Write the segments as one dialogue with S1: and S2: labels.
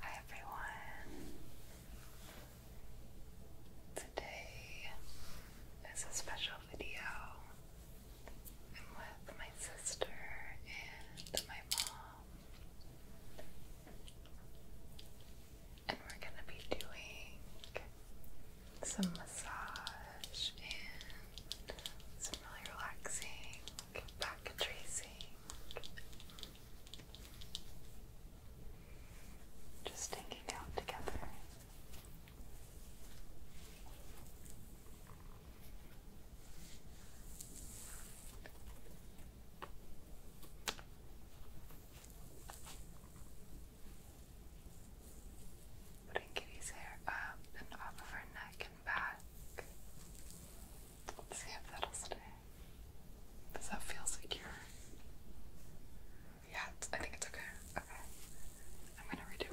S1: Hi everyone. Today is a special video. I'm with my sister and my mom. And we're going to be doing some massage and some really relaxing back tracing. Just taking out together. Putting Kitty's hair up and off of her neck and back. Does that feel secure? Yeah, I think it's okay. Okay. I'm gonna redo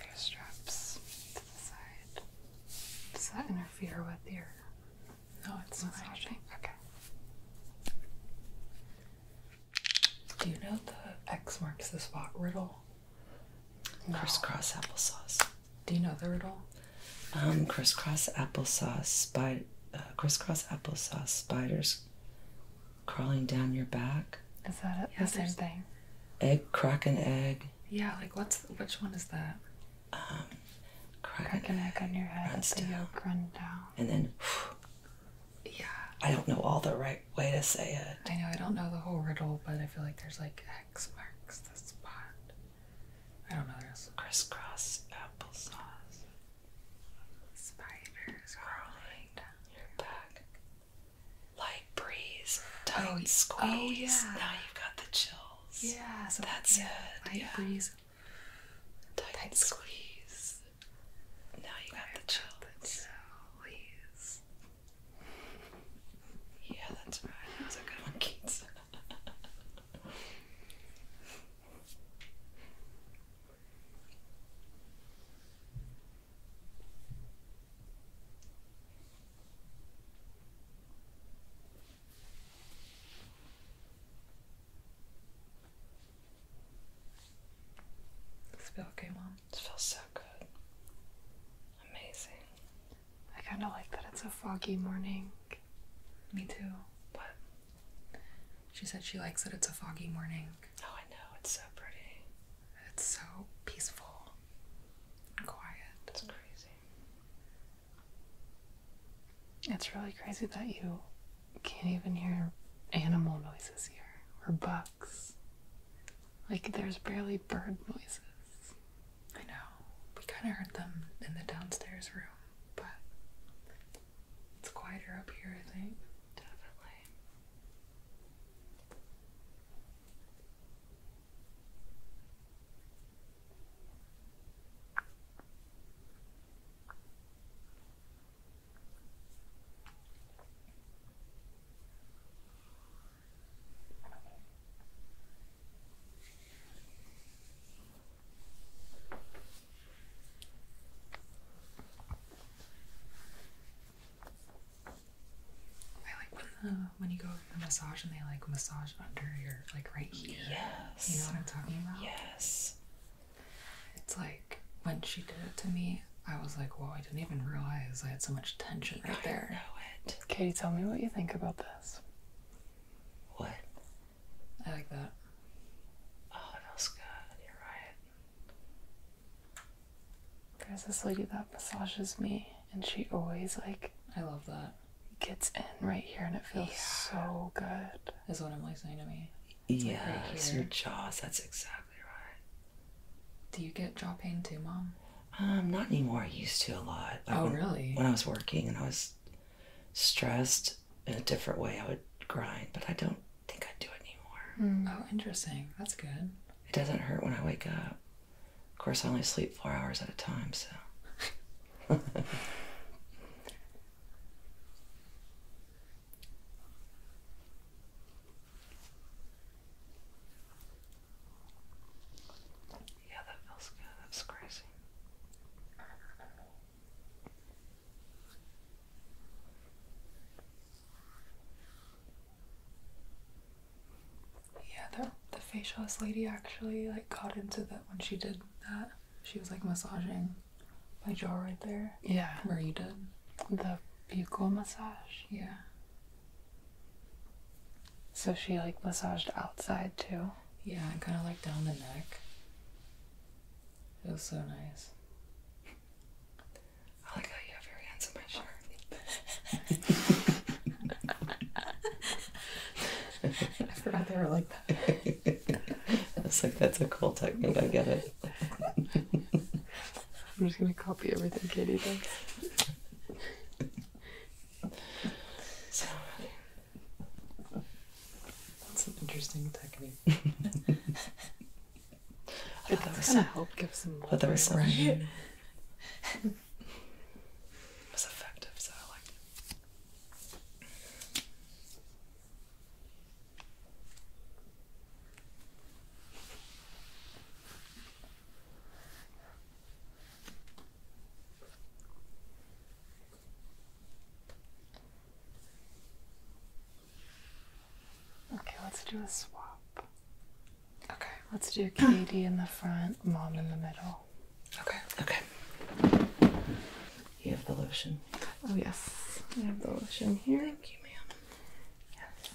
S1: We're straps to the side. Does that interfere with your? No, it's massaging. Okay. Do you know the X marks the spot riddle? Crisscross applesauce. Do you know the riddle? Um, crisscross applesauce. Spy, uh, crisscross applesauce. Spiders crawling down your back. Is that it? Yeah, the same thing? Egg crack an egg. Yeah, like what's which one is that? Um, crack, crack egg, on your head. Run down. And then. Yeah. I don't know all the right way to say it. I know I don't know the whole riddle, but I feel like there's like X marks the spot. I don't know this. Crisscross applesauce. Spiders crawling down your back. Light breeze, oh, tight oh, squeeze. yeah. Now you've got the chills. Yeah, so that's yeah, it. Light breeze, tight, tight squeeze. Now you got I the chills. So, please. Yeah, that's right. That was a good one, Keats. The spell came on it feels so good. Amazing. I kind of like that it's a foggy morning. Me too. What? She said she likes that it's a foggy morning. Oh, I know. It's so pretty. It's so peaceful and quiet. It's crazy. It's really crazy that you can't even hear animal noises here or bugs. Like, there's barely bird noises. I know. We kind of heard them in the downstairs room, but it's quieter up here, I think. Definitely. I like when the when you go to the massage and they like massage under your like right here. Yes. You know what I'm talking about? Yes. It's like when she did it to me I was like, whoa, I didn't even realize I had so much tension right I there. know it. Katie, tell me what you think about this. What? I like that. Oh, it feels good. You're right. There's this lady that massages me, and she always, like, I love that. Gets in right here, and it feels so good. Is what I'm like saying to me. It's yes, your jaws. That's exactly do you get jaw pain too, Mom? Um, not anymore. I used to a lot. oh, when, really? When I was working and I was stressed in a different way, I would grind, but I don't think I do it anymore. Hmm. Oh, interesting. That's good. It doesn't hurt when I wake up. Of course, I only sleep four hours at a time, so. Yeah, that feels good. That's crazy. Yeah, the the facialist lady actually like got into that when she did that. She was like massaging my jaw right there. Yeah. Where you did. The buccal massage. Yeah. So she like massaged outside too? Yeah, kind of like down the neck. It was so nice. I like how you have your hands in my shirt. I forgot they were like that. It's like, that's a cool technique. I get it. I'm just gonna copy everything Katie does. So that's an interesting technique. I thought that was gonna help give some. But that was so was effective, so I liked Okay, let's do a swap. Okay, let's do Katie in the front, Mom in the middle. Okay. Okay. You have the lotion. Oh yes, I have the lotion here. Thank you, ma'am. Yes.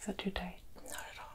S1: Is that too tight? Not at all.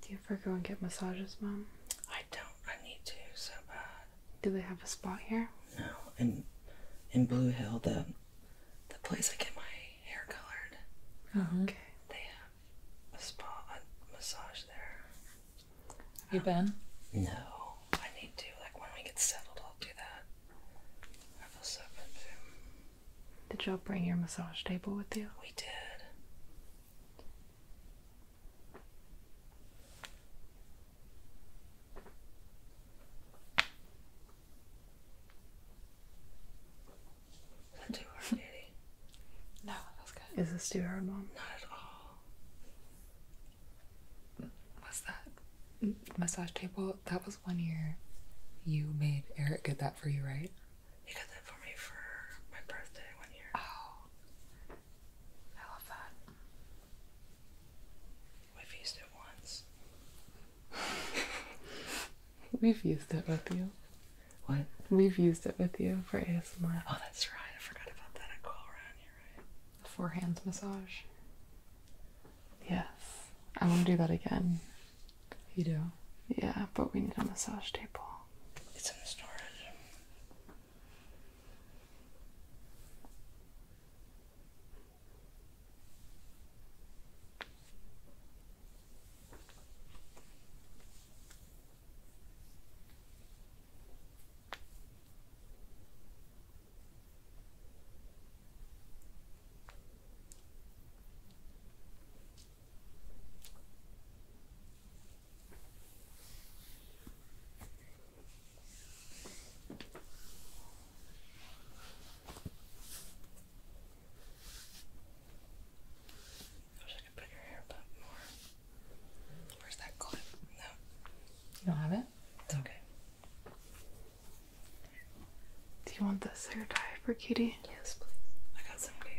S1: Do you ever go and get massages, Mom? I don't. I need to so bad. Do they have a spot here? No. In in Blue Hill, the the place I get my hair colored. Uh-huh. okay. They have a spa a massage there. Have you been? No. I need to. Like when we get settled, I'll do that. I feel so good. Too. Did y'all bring your massage table with you? We did. Is that too hard, Daddy? No, that's good. Is this too hard, Mom? Not at all. What's that? Massage table? That was one year you made Eric get that for you, right? He got that for me for my birthday one year. Oh. I love that. We've used it once. We've used it with you. What? We've used it with you for ASMR. Oh, that's right. I forgot about that. I go around here, right? The forehand massage. Yes. I want to do that again. You do? Yeah, but we need a massage table. It's in the storage. I wish I could put your hair back more. Where's that clip? No. You don't have it? It's okay. Do you want this hair tie for Kitty? Yes, please. I got some dates.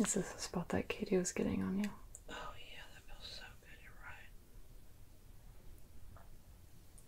S1: Is This the spot that Katie was getting on you. Oh yeah, that feels so good, you're right.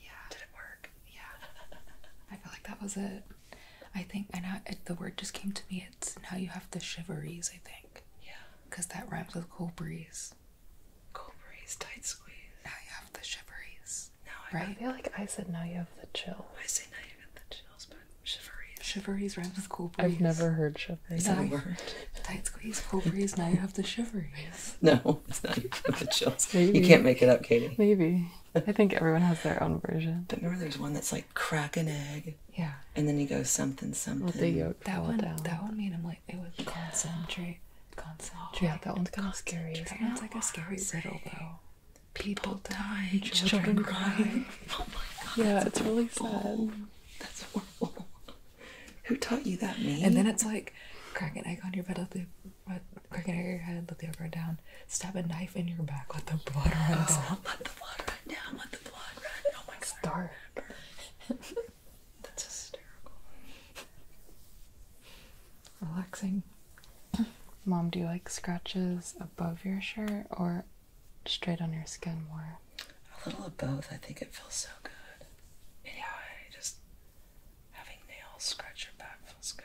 S1: yeah did it work yeah I feel like that was it I think and the word just came to me it's now you have the shiveries I think yeah because that rhymes with cool breeze Cold breeze, tight squeeze. Now you have the shiveries. Now I, right? I feel like I said now you have the chill. I say now you have the chills, but shiveries. Shiveries rhymes with cold breeze. I've never heard shiveries. It's word. tight squeeze, cold breeze, now you have the shiveries. No, it's not you have the chills. You can't make it up, Katie. Maybe. I think everyone has their own version. But remember, there's one that's like crack an egg. Yeah. And then he goes something something. the yolk that one, down. That one made him like like it would concentrate. Concentrate. Yeah, that one's kind of scary. That one's like a scary riddle though. People die, children, children cry. oh my god. Yeah, oh it's horrible. really sad. That's horrible. Who taught you that, me? And then it's like crack an egg on your bed, let the let, crack an egg on your head, let the egg run down. Stab a knife in your back, let the blood run. Oh. Let the blood run down. Let the blood run. Oh my god. Starve. That's hysterical. Relaxing. Mom, do you like scratches above your shirt or straight on your skin more? A little of both. I think it feels so good. Yeah, just having nails scratch your back feels good.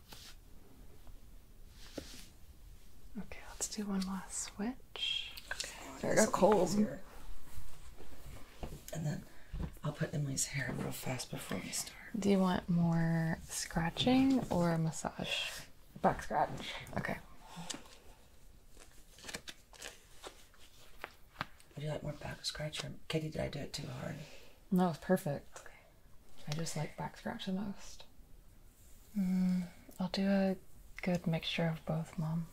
S1: Okay, let's do one last switch. Okay, I got colds. Easier. And then I'll put Emily's hair real fast before we start. Do you want more scratching or massage? Back scratch. Okay. Would you like more back scratch? Or... Katie, did I do it too hard? No, it's perfect. I just like back scratch the most. Mm, I'll do a good mixture of both, Mom.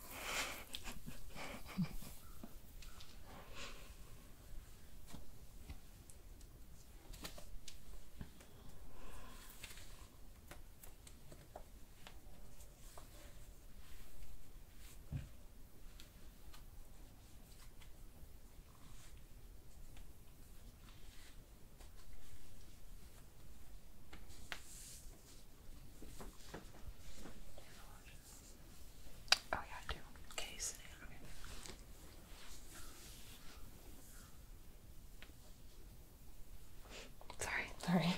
S1: Oh, yeah, I do. Okay, Sorry, sorry.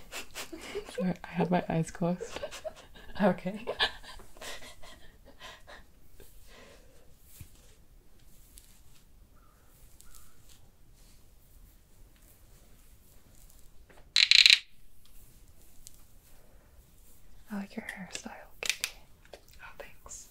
S1: sorry. I had my eyes closed. okay. I like your hairstyle, Kitty. Oh, thanks.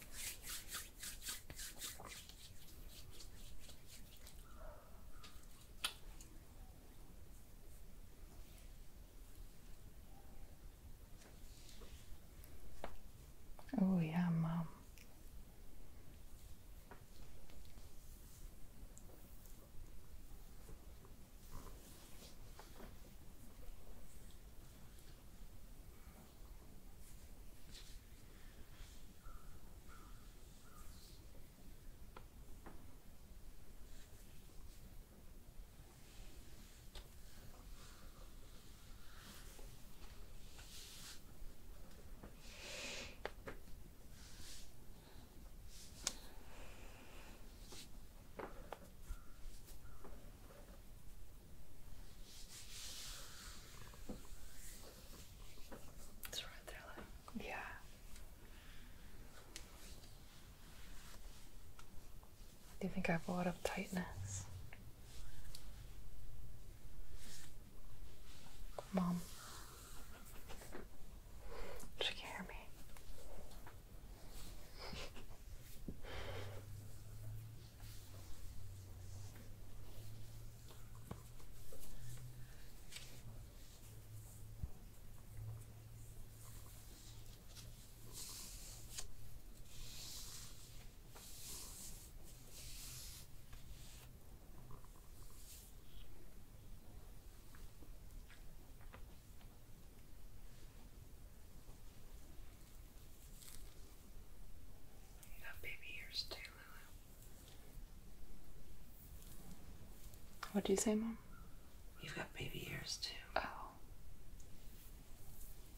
S1: Oh, yeah, Mom. It's right there, like. Yeah. Do you think I have a lot of tightness? Mom. She can hear me. You got baby ears too, Lulu. what do you say, Mom? You've got baby ears too. Oh.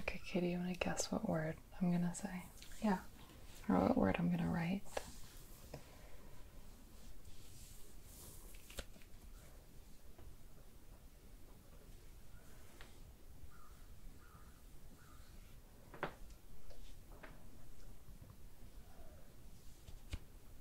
S1: Okay, Kitty. you want to guess what word I'm going to say? Yeah. Or what word I'm going to write?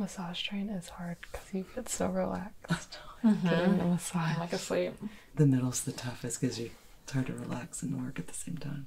S1: Massage train is hard because you get so relaxed. Getting mm-hmm. a massage. like asleep the middle's the toughest because you it's hard to relax and work at the same time.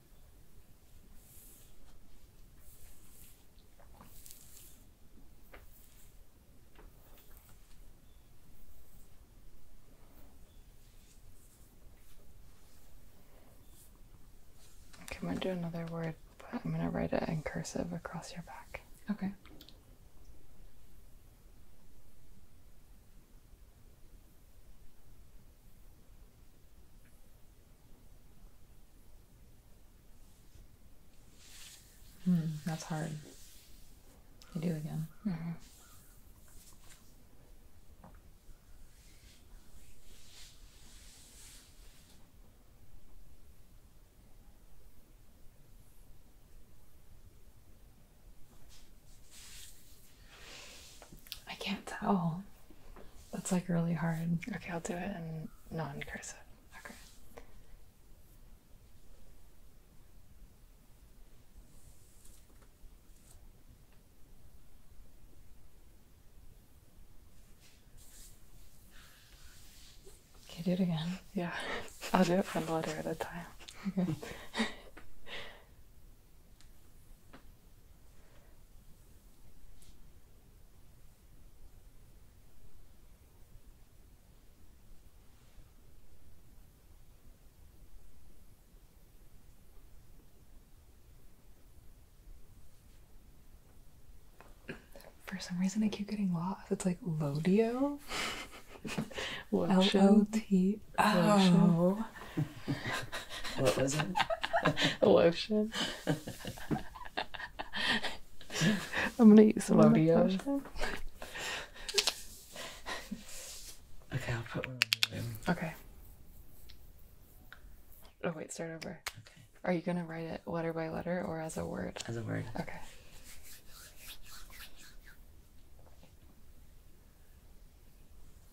S1: Can i do another word, I'm gonna write it in cursive across your back. Okay. Mm, that's hard. You do again. Mm-hmm. I can't tell. That's like really hard. Okay, I'll do it in non cursive. Okay. Okay, do it again. Yeah, I'll do it one letter at a time. Okay. For some reason, I keep getting lost. It's like Lodio.
S2: L O T O.
S1: Oh. What was it? Lotion. I'm gonna eat some Oreos. okay, I'll put one in the room. Okay. Oh wait, start over. Okay. Are you gonna write it letter by letter or as a word? As a word. Okay.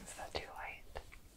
S1: Is that too light?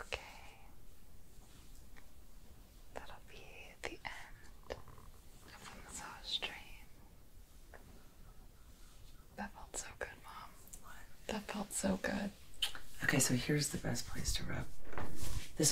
S1: Okay, that'll be the end of the massage train. That felt so good, Mom. That felt so good. Okay, so here's the best place to rub. This